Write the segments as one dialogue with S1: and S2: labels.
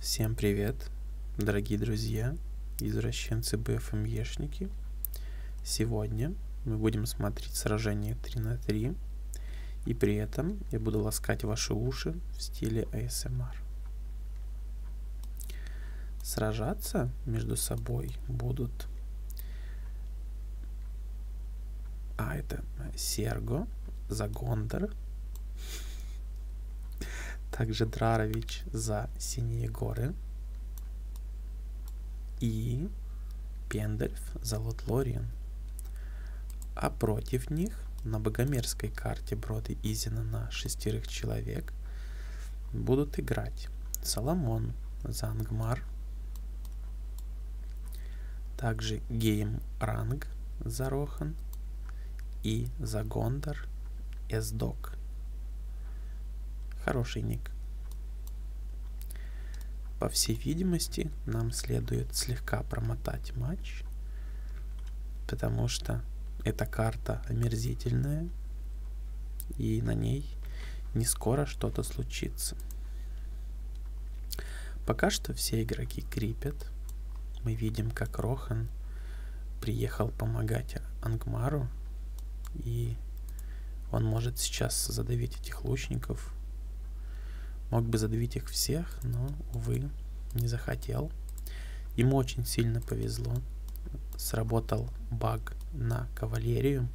S1: Всем привет, дорогие друзья, извращенцы БФМЕшники. Эм Сегодня мы будем смотреть сражение 3 на 3, и при этом я буду ласкать ваши уши в стиле ASMR. Эм Сражаться между собой будут а, это э, Серго, Загондер. Также Драрович за Синие горы. И Пендельф за Лотлориен. А против них на богомерской карте Броды Изина на шестерых человек будут играть Соломон за Ангмар, также гейм ранг за Рохан и за Гондор Эсдок. Хороший ник. По всей видимости, нам следует слегка промотать матч, потому что эта карта омерзительная, и на ней не скоро что-то случится ситуации. Пока что все игроки крипят. Мы видим, как Рохан приехал помогать Ангмару. И он может сейчас задавить этих лучников. Мог бы задавить их всех, но, увы, не захотел. Ему очень сильно повезло. Сработал баг на кавалерию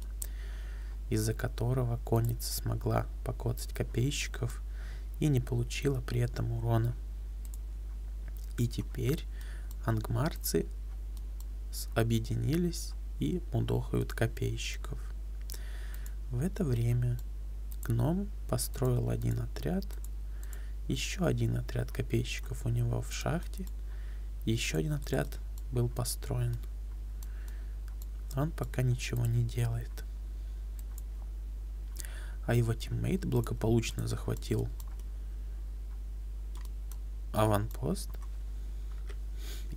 S1: из-за которого конница смогла покоцать копейщиков и не получила при этом урона. И теперь ангмарцы объединились и мудохают копейщиков. В это время гном построил один отряд, еще один отряд копейщиков у него в шахте, еще один отряд был построен. Он пока ничего не делает. А его тиммейт благополучно захватил аванпост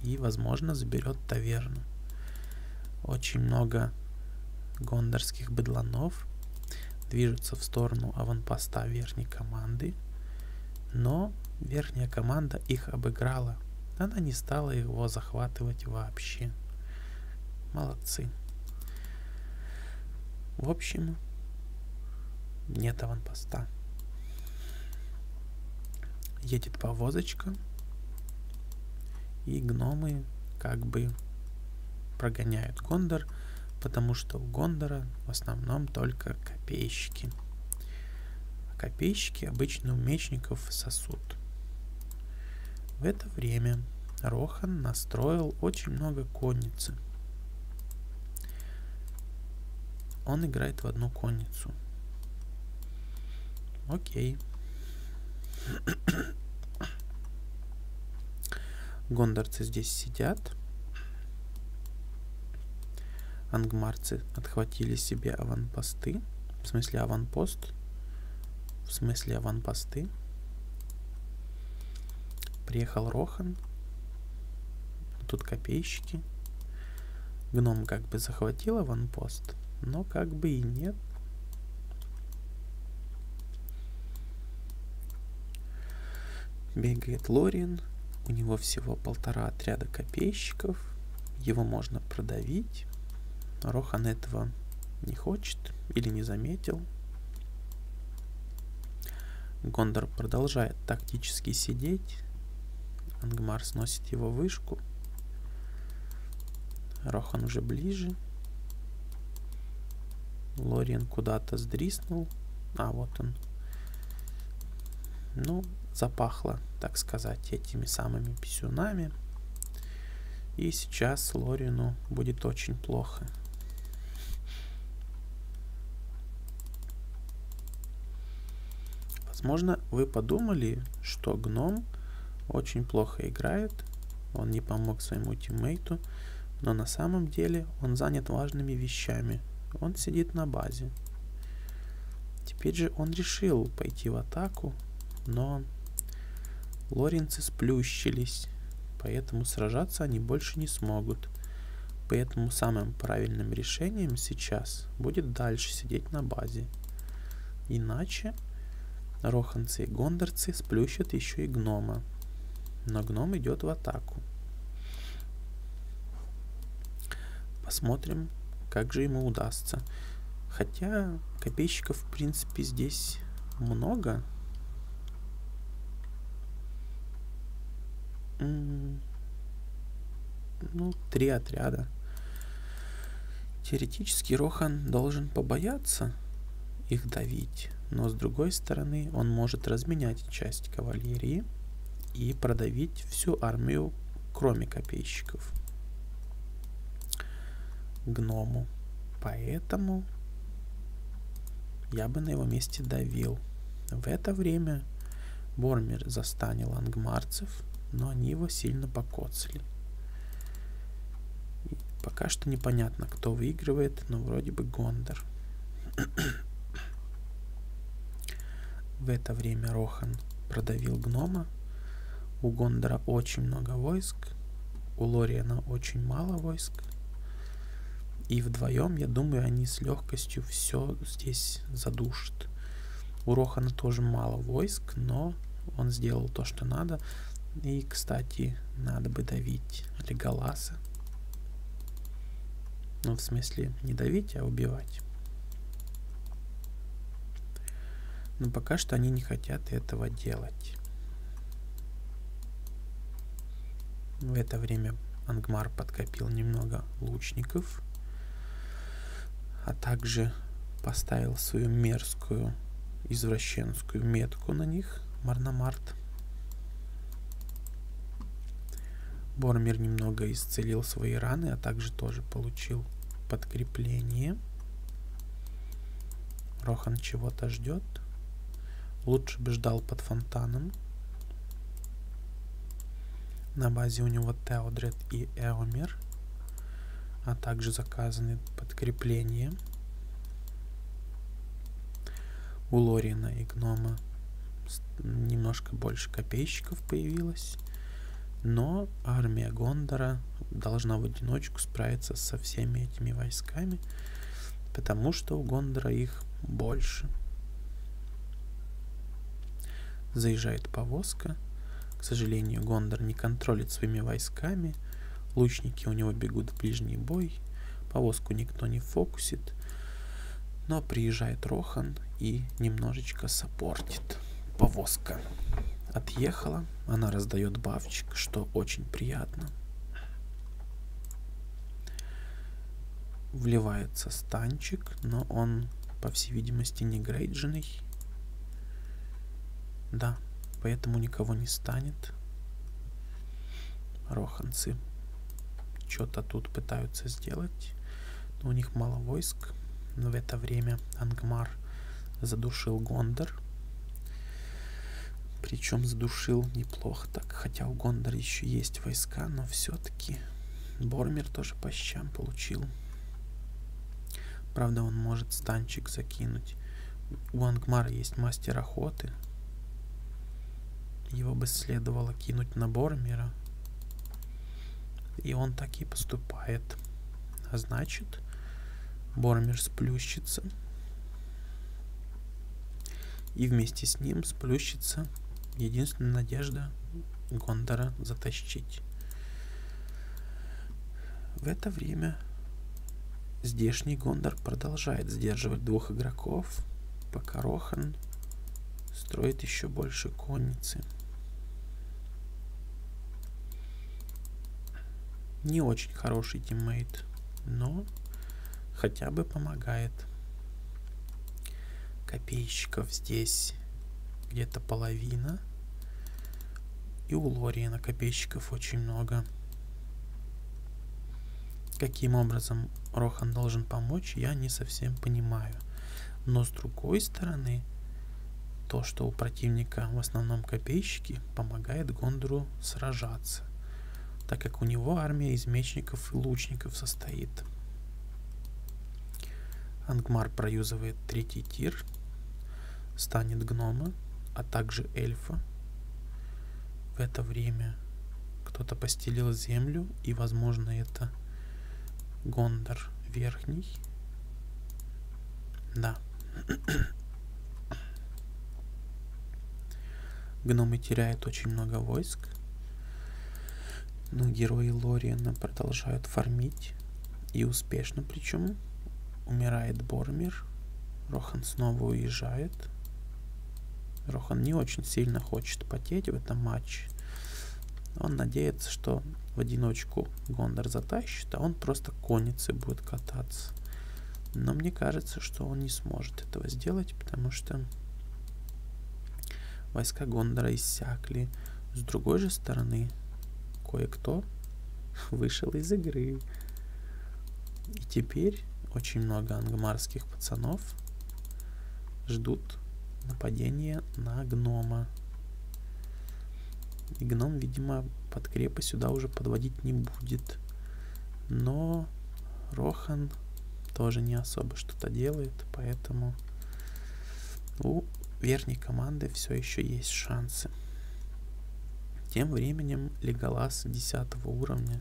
S1: и, возможно, заберет таверну. Очень много гондорских быдланов движутся в сторону аванпоста верхней команды, но верхняя команда их обыграла – она не стала его захватывать вообще. Молодцы. В общем, нет аванпоста. Едет повозочка, и гномы как бы прогоняют Гондор, потому что у Гондора в основном только копейщики а копейщики обычно у мечников сосуд. В это время Рохан настроил очень много конницы. Он играет в одну конницу. Окей. Гондарцы здесь сидят. Ангмарцы отхватили себе аванпосты. В смысле аванпост? В смысле аванпосты? Приехал Рохан. Тут копейщики. Гном как бы захватил аванпост, но как бы и нет. Бегает Лорин, у него всего полтора отряда копейщиков, его можно продавить. Рохан этого не хочет или не заметил. Гондор продолжает тактически сидеть. Ангмар сносит его вышку. Рохан уже ближе. Лориен куда-то сдриснул. А, вот он. Ну, запахло, так сказать, этими самыми писюнами. И сейчас Лорину будет очень плохо. Возможно, вы подумали, что гном очень плохо играет, он не помог своему тиммейту, но на самом деле он занят важными вещами. Он сидит на базе. Теперь же он решил пойти в атаку, но лоринцы сплющились, поэтому сражаться они больше не смогут. Поэтому самым правильным решением сейчас будет дальше сидеть на базе. Иначе роханцы и гондорцы сплющат еще и гнома. Но гном идет в атаку. Посмотрим, как же ему удастся. Хотя копейщиков, в принципе, здесь много. Ну, три отряда. Теоретически Рохан должен побояться их давить, но с другой стороны он может разменять часть кавалерии и продавить всю армию кроме копейщиков, гному. Поэтому я бы на его месте давил. В это время Бормер застанил ангмарцев, но они его сильно покоцали. И пока что непонятно, кто выигрывает, но вроде бы Гондор. В это время Рохан продавил гнома, у Гондора очень много войск, у Лориана очень мало войск. И вдвоем, я думаю, они с легкостью все здесь задушат. У Рохана тоже мало войск, но он сделал то, что надо. И, кстати, надо бы давить Леголаса. Ну, в смысле, не давить, а убивать. Но пока что они не хотят этого делать. В это время Ангмар подкопил немного лучников, а также поставил свою мерзкую извращенскую метку на них, Марнамарт. Бормер немного исцелил свои раны, а также тоже получил подкрепление. Рохан чего-то ждет. Лучше бы ждал под фонтаном. На базе у него Теодред и Эомер, а также заказаны подкрепления. У Лорина и Гнома немножко больше копейщиков появилось удалось. Но армия Гондора должна в одиночку справиться со всеми этими войсками, потому что у Гондора их больше. Заезжает повозка. К сожалению, Гондор не контролит своими войсками. Лучники у него бегут в ближний бой. Повозку никто не фокусит. Но приезжает Рохан и немножечко саппортит повозка отъехала, она раздает бавчик, что очень приятно. Вливается станчик, но он, по всей видимости, не грейдженный. Да, поэтому никого не станет. Роханцы что-то тут пытаются сделать но у них мало войск. Но в это время Ангмар задушил Гондор. Причем задушил неплохо так, хотя у Гондора еще есть войска, но все-таки Бормер тоже по щам получил. Правда, он может станчик закинуть. У Ангмара есть мастер охоты. Его бы следовало кинуть на Бормера, и он так и поступает. А значит, Бормер сплющится. И вместе с ним сплющится единственная надежда Гондора затащить. В это время здешний Гондор продолжает сдерживать двух игроков, пока Рохан строит еще больше конницы. Не очень хороший тиммейт, но хотя бы помогает. Копейщиков здесь где-то половина. И у Лориена копейщиков очень много. Каким образом Рохан должен помочь, я не совсем понимаю. Но с другой стороны, то, что у противника в основном копейщики, помогает Гондору сражаться, так как у него армия из мечников и лучников состоит. Ангмар проюзывает третий тир, станет гнома, а также эльфа. В это время кто-то постелил землю, и, возможно, это Гондор верхний. Да. Гномы теряют очень много войск. Но герои Лориена продолжают фармить. И успешно причем. Умирает Бормир. Рохан снова уезжает. Рохан не очень сильно хочет потеть в этом матче. Он надеется, что в одиночку Гондор затащит, а он просто конится и будет кататься. Но мне кажется, что он не сможет этого сделать, потому что войска Гондора иссякли. С другой же стороны, кое-кто вышел из игры. И теперь очень много ангмарских пацанов ждут нападения на гнома. И гном, видимо, под крепы сюда уже подводить не будет. Но Рохан тоже не особо что-то делает, поэтому у верхней команды все еще есть шансы. Тем временем Леголас 10 уровня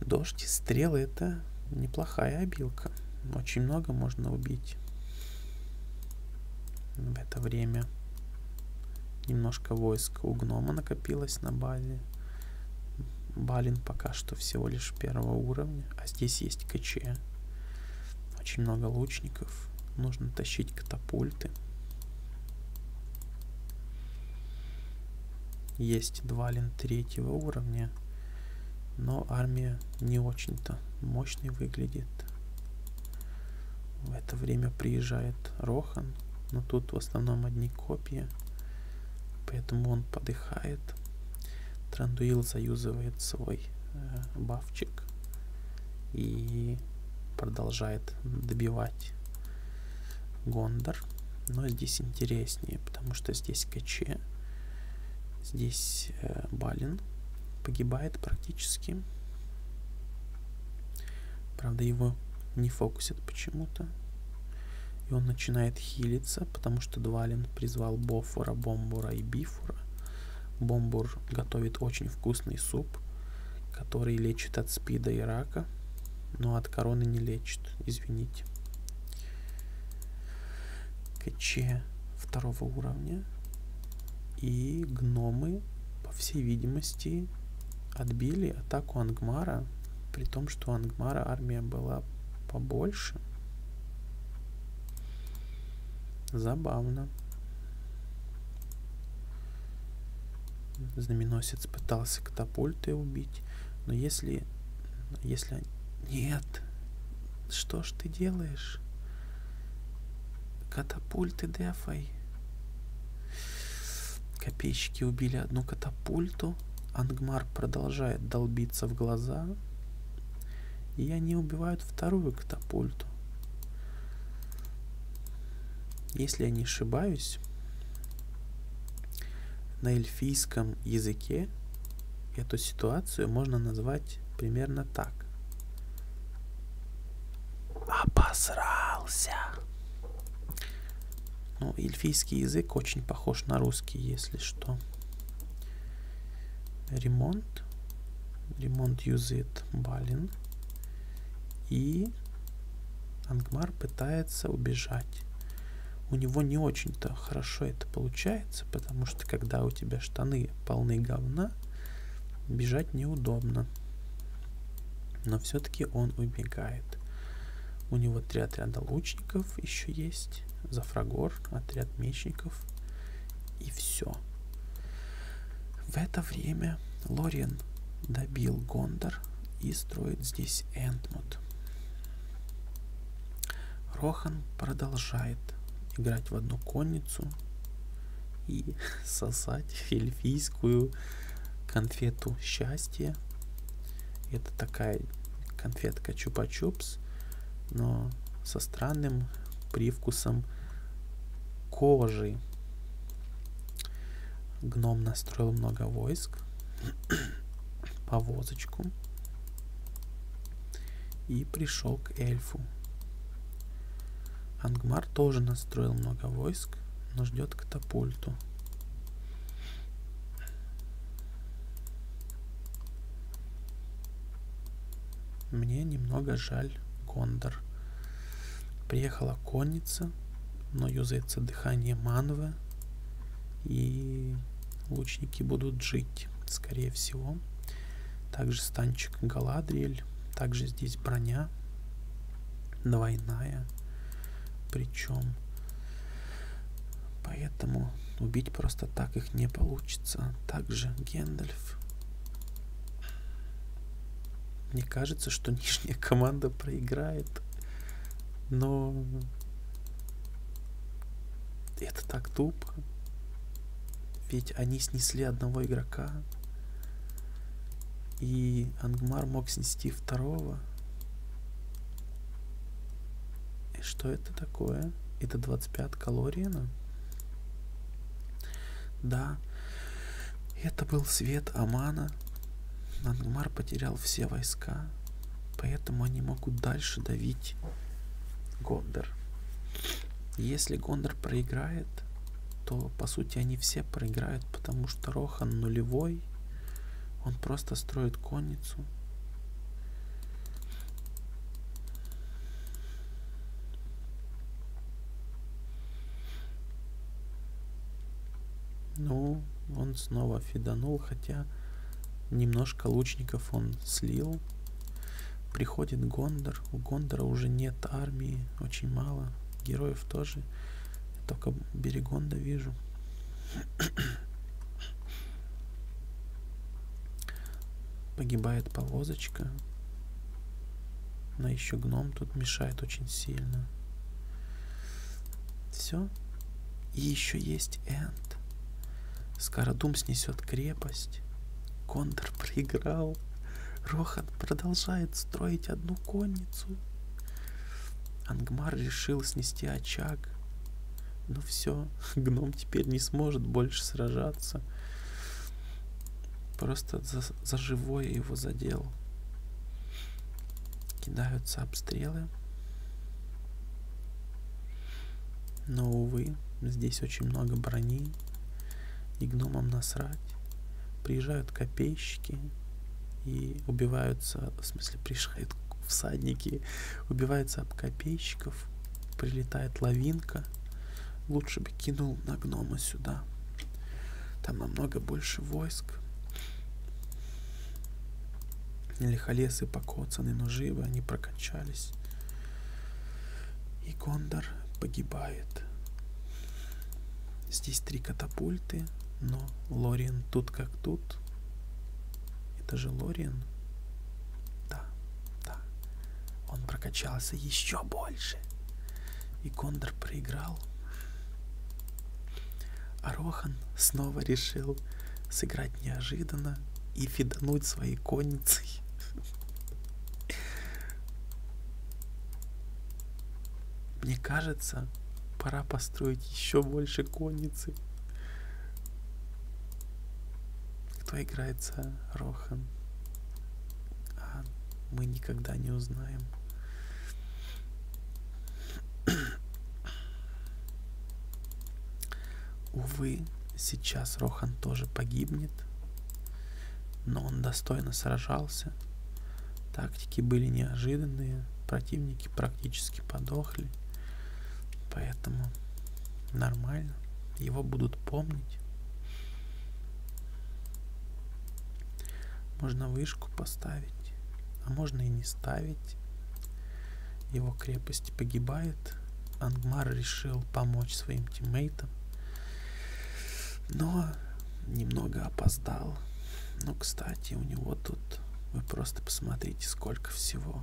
S1: Дождь и стрелы — это неплохая обилка. Очень много можно убить в это время. Немножко войск у гнома накопилось на базе. Балин пока что всего лишь первого уровня, а здесь есть КЧ. Очень много лучников. Нужно тащить катапульты есть два лин третьего уровня, но армия не очень-то мощной выглядит. В это время приезжает Рохан, но тут в основном одни копии, поэтому он подыхает. Трандуил заюзывает свой э, бафчик и продолжает добивать Гондор. Но здесь интереснее, потому что здесь здесь КЧ, здесь э, Балин погибает практически. Правда, его не фокусят почему-то. И он начинает хилиться, потому что Двалин призвал Бофора, Бомбура и Бифура. Бомбур готовит очень вкусный суп, который лечит от спида и рака, но от короны не лечит, извините. КЧ второго уровня. И гномы, по всей видимости, отбили атаку Ангмара, при том, что у Ангмара армия была побольше. Забавно. Знаменосец пытался катапульты убить, но если если... Нет. Что ж ты делаешь? Катапульты дефай. Копейщики убили одну катапульту. Ангмар продолжает долбиться в глаза. И они убивают вторую катапульту. Если я не ошибаюсь, на эльфийском языке эту ситуацию можно назвать примерно так. Обосрался. Ну, эльфийский язык очень похож на русский, если что. Ремонт. Ремонт юзит Балин. И Ангмар пытается убежать у него не очень-то хорошо это получается, потому что когда у тебя штаны полны говна, бежать неудобно. Но все-таки он убегает. У него три отряда лучников еще есть, зафрагор, отряд мечников и все. В это время Лориен добил Гондор и строит здесь Энтмут. Рохан продолжает играть в одну конницу и сосать эльфийскую конфету счастья. Это такая конфетка чупа-чупс, но со странным привкусом кожи. Гном настроил много войск, повозочку и пришел к эльфу. Ангмар тоже настроил много войск, но ждет катапульту. Мне немного жаль Кондор. Приехала конница, но юзается дыхание Манвы, и лучники будут жить, скорее всего. Также станчик Галадриэль. Также здесь броня двойная. Причем поэтому убить просто так их не получится. Также Гендальф. Мне кажется, что нижняя команда проиграет. Но это так тупо. Ведь они снесли одного игрока. И Ангмар мог снести второго. И что это такое? Это 25 калорина? Да. Это был свет Амана. Ангмар потерял все войска. Поэтому они могут дальше давить Гондор. Если Гондор проиграет, то по сути они все проиграют, потому что Рохан нулевой. Он просто строит конницу. Ну, он снова фиданул, хотя немножко лучников он слил. Приходит Гондор. У Гондора уже нет армии, очень мало. Героев тоже. Я только Берегонда вижу. Погибает повозочка. Но еще гном тут мешает очень сильно. Все, и еще есть Энд. Скородум снесет крепость. Кондор проиграл. Рохан продолжает строить одну конницу. Ангмар решил снести очаг. Ну все, гном теперь не сможет больше сражаться. Просто за, за живое его задел. Кидаются обстрелы. Но, увы, здесь очень много брони. И гномам насрать. Приезжают копейщики и убиваются, в смысле, приезжают всадники, убиваются об копейщиков, прилетает лавинка. Лучше бы кинул на гнома сюда. Там намного больше войск. Лихолесы покоцаны, но живы они прокончались. И Кондор погибает. Здесь три катапульты, но Лориен тут как тут. Это же Лориен. Да, да. Он прокачался еще больше. И Кондор проиграл. А Рохан снова решил сыграть неожиданно и фидануть своей конницей. Мне кажется, пора построить еще больше конницы. Кто играет за Рохан? А мы никогда не узнаем. Увы, сейчас Рохан тоже погибнет, но он достойно сражался. Тактики были неожиданные, противники практически подохли, поэтому нормально, его будут помнить. Можно вышку поставить, а можно и не ставить память. Его крепость погибает. Ангмар решил помочь своим тиммейтам, но немного опоздал. Ну, кстати, у него тут, вы просто посмотрите, сколько всего.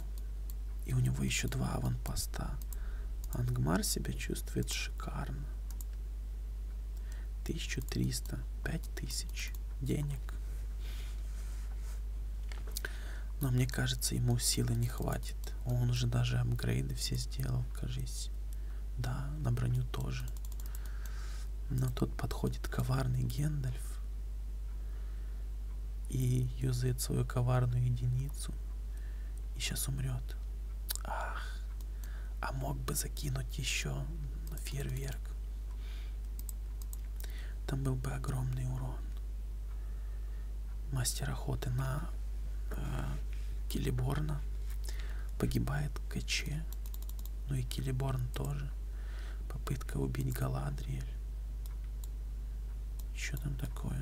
S1: И у него еще два аванпоста. Ангмар себя чувствует шикарно. 1300, 5 пять тысяч денег. Но мне кажется, ему силы не хватит. Он уже даже апгрейды все сделал, кажись. Да, на броню тоже. Но тут подходит коварный Гендальф и юзает свою коварную единицу. И сейчас умрет. Ах, а мог бы закинуть еще фейерверк. Там был бы огромный урон. Мастер охоты на э, Килиборна погибает КЧ. Ну и Килиборн тоже. Попытка убить Галадриэль. Что там такое?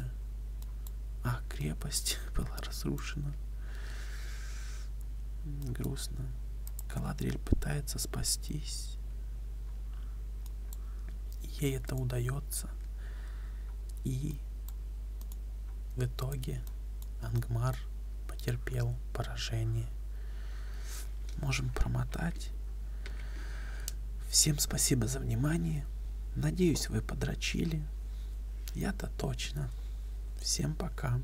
S1: А, крепость была разрушена. Грустно. Каладриль пытается спастись. Ей это удается. И в итоге Ангмар потерпел поражение. Можем промотать. Всем спасибо за внимание. Надеюсь, вы подрочили. Я-то точно. Всем пока.